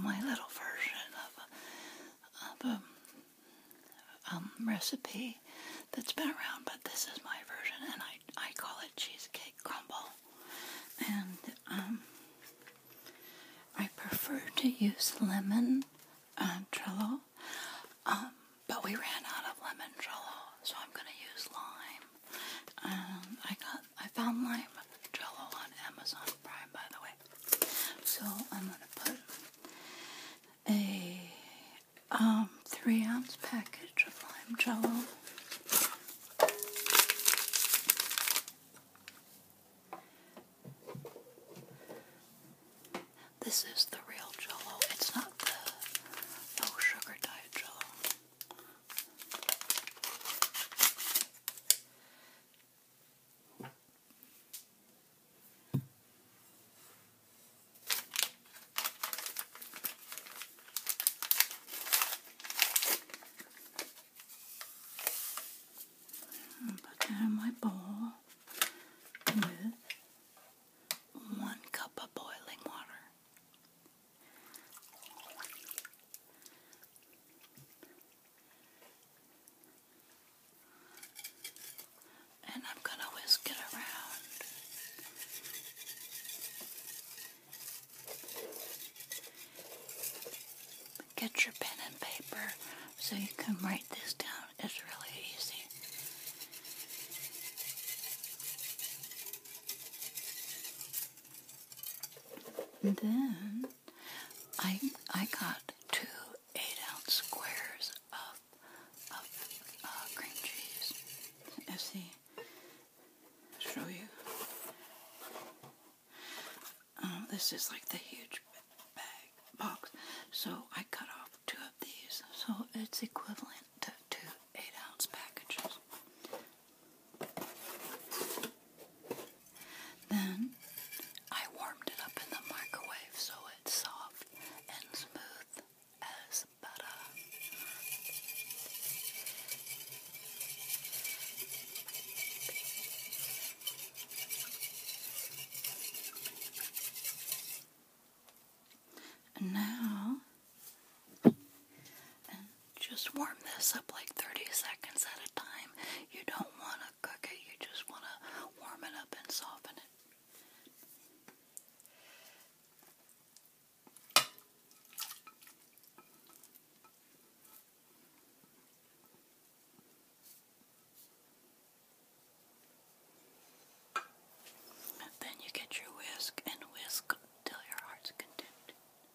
my little version of a, um, recipe that's been around, but this is my version, and I, call it cheesecake crumble. And um, I prefer to use lemon uh, Trello, um, but we ran out of lemon Trello, so I'm going to use lime. Um, I got I found lime jello on Amazon Prime, by the way. So I'm gonna put a um, three ounce package of lime jello. This is the real jello. It's not the no sugar diet jello. And put down my bowl with one cup of boiling water. And I'm going to whisk it around. Get your pen and paper so you can write this down. It's really easy. Then I I got two eight ounce squares of of uh, cream cheese. Let's show you. Uh, this is like the huge bag box. So I cut off two of these. So it's equivalent to two eight ounce packages. Then I warmed it up in the microwave so it's soft and smooth as butter. now and just warm this up like 30 seconds at a time. You don't want to cook it, you just want to warm it up and soften it. Then you get your whisk and whisk till your heart's content.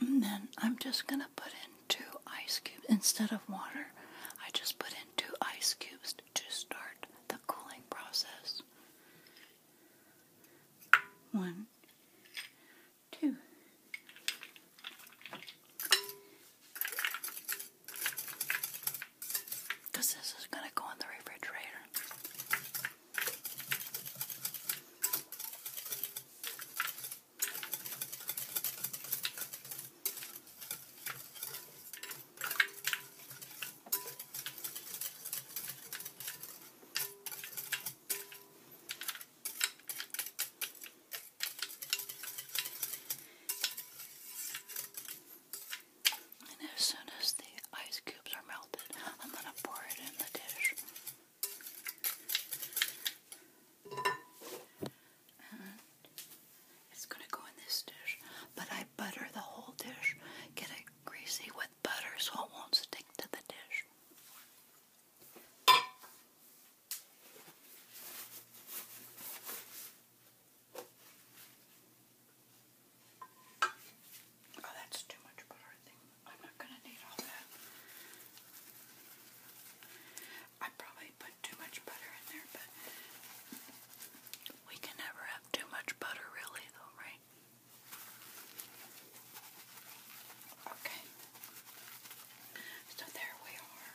then I'm just going to put in two ice cubes instead of water. I just put in two ice cubes to start the cooling process. One, two. Because this is going to go in the refrigerator. And as soon as the ice cubes are melted. I'm going to pour it in the dish. it's going to go in this dish. But I butter the whole dish. Get it greasy with butter so it won't stick to the dish. Oh, that's too much butter, I am not going to need all that. I probably put too much butter in there, but we can never have too much butter, really, though, right? Okay. So there we are.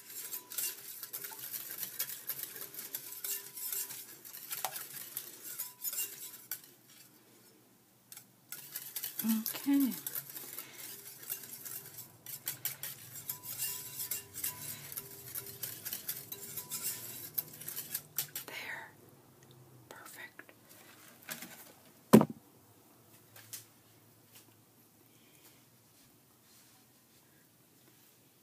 Okay. There. Perfect.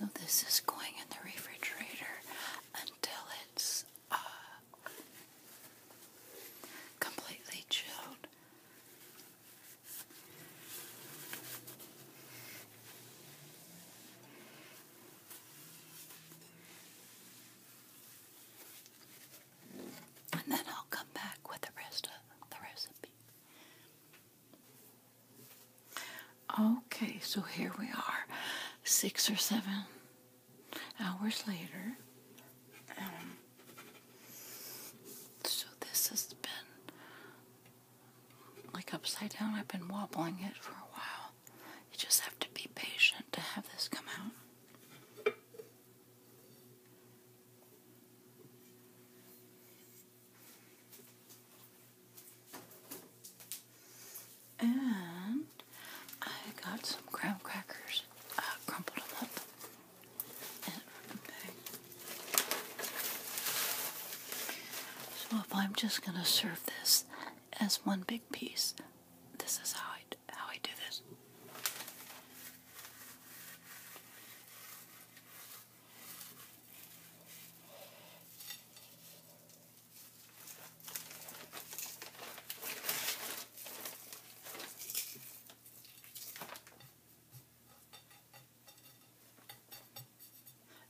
Now this is going in the refrigerator until it's uh, completely chilled. And then I'll come back with the rest of the recipe. Okay, so here we are, six or seven hours later. Um, so this has been like upside down. I've been wobbling it for a while. You just have to be patient to have this come out. And I got some graham crackers. I uh, crumpled them up and okay. So if I'm just gonna serve this as one big piece, this is how I how I do this.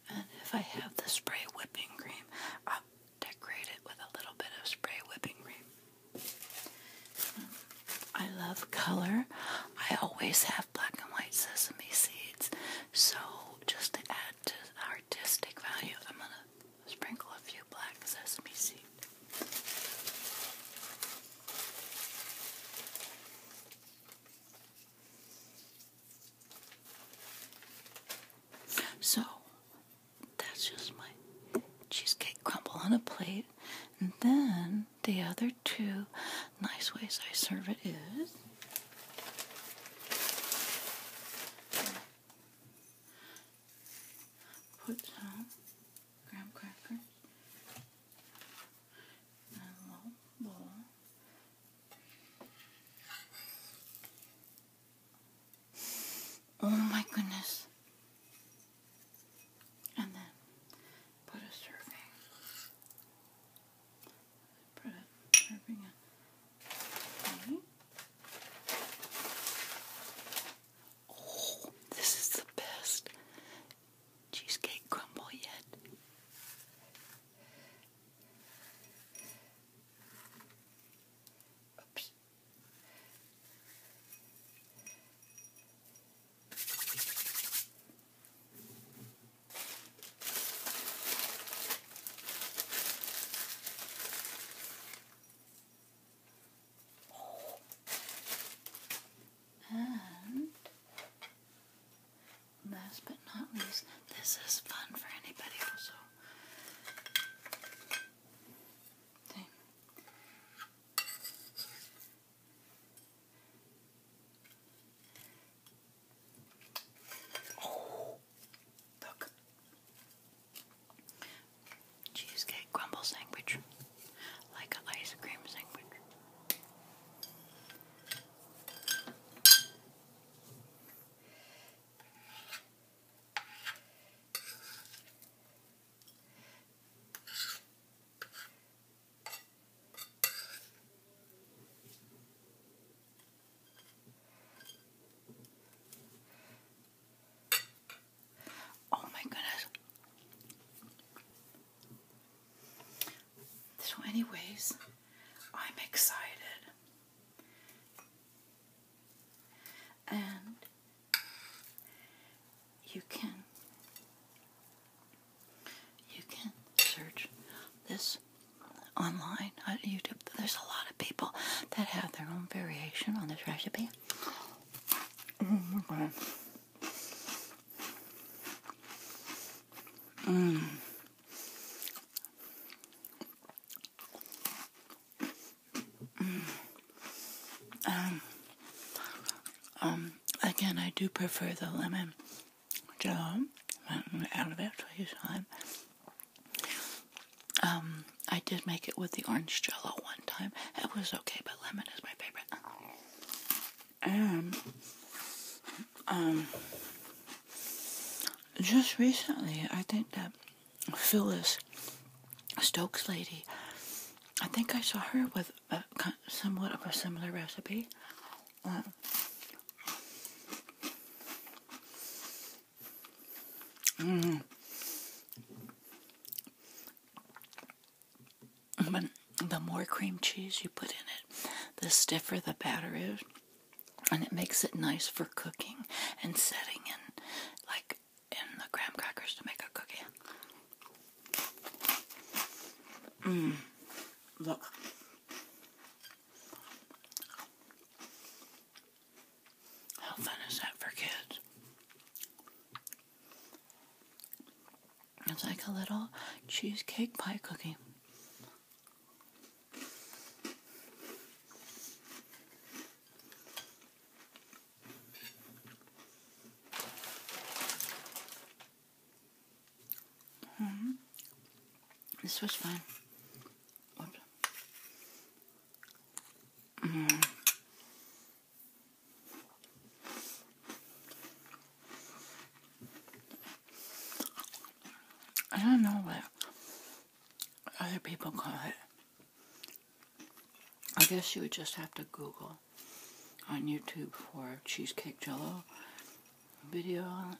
And if I have the spray whipping cream, i decorate it with a little bit of spray whipping cream. I love color. I always have black and white sesame seeds, so just to add to artistic value, I'm gonna sprinkle a few black sesame seeds. So that's just my cheesecake crumble on a plate, and then the other two nice ways I serve it is put some graham crackers in a little bowl. Oh my goodness. And then put a serving Oh, this is the best cheesecake crumble yet. Oops. And last but not least, this is fun for anybody also. Oh, look. Cheesecake crumble sandwich. Like an ice cream sandwich. Oh my goodness. So anyways, I'm excited. And you can you can search this online on YouTube. There's a lot of people that have their own variation on this recipe. Mm. Mm. Um, um, again, I do prefer the lemon Joe, out of it for his time. I did make it with the orange jello one time. It was okay, but lemon is my favorite. And, um, just recently, I think that Phyllis Stokes lady, I think I saw her with somewhat of a similar recipe. Uh, mm. But the more cream cheese you put in it, the stiffer the batter is, and it makes it nice for cooking and setting in, like in the graham crackers to make a cookie. Mmm. Look. How fun is that for kids? It's like a little cheesecake pie cookie. Hmm. This was fun. Hmm. I don't know what other people call it. I guess you would just have to Google on YouTube for cheesecake jello video on it.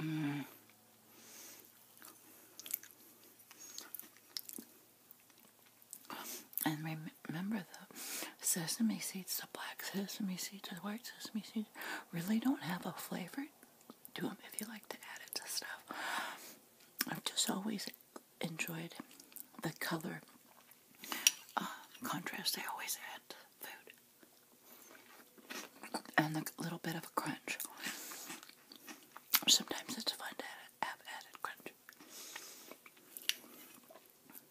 Mm. And remember the sesame seeds, the black sesame seeds, the white sesame seeds really don't have a flavor to them if you like to add it to stuff. I've just always enjoyed the color uh, contrast they always add to food and the little bit of a crunch. Sometimes it's fun to have added crunch.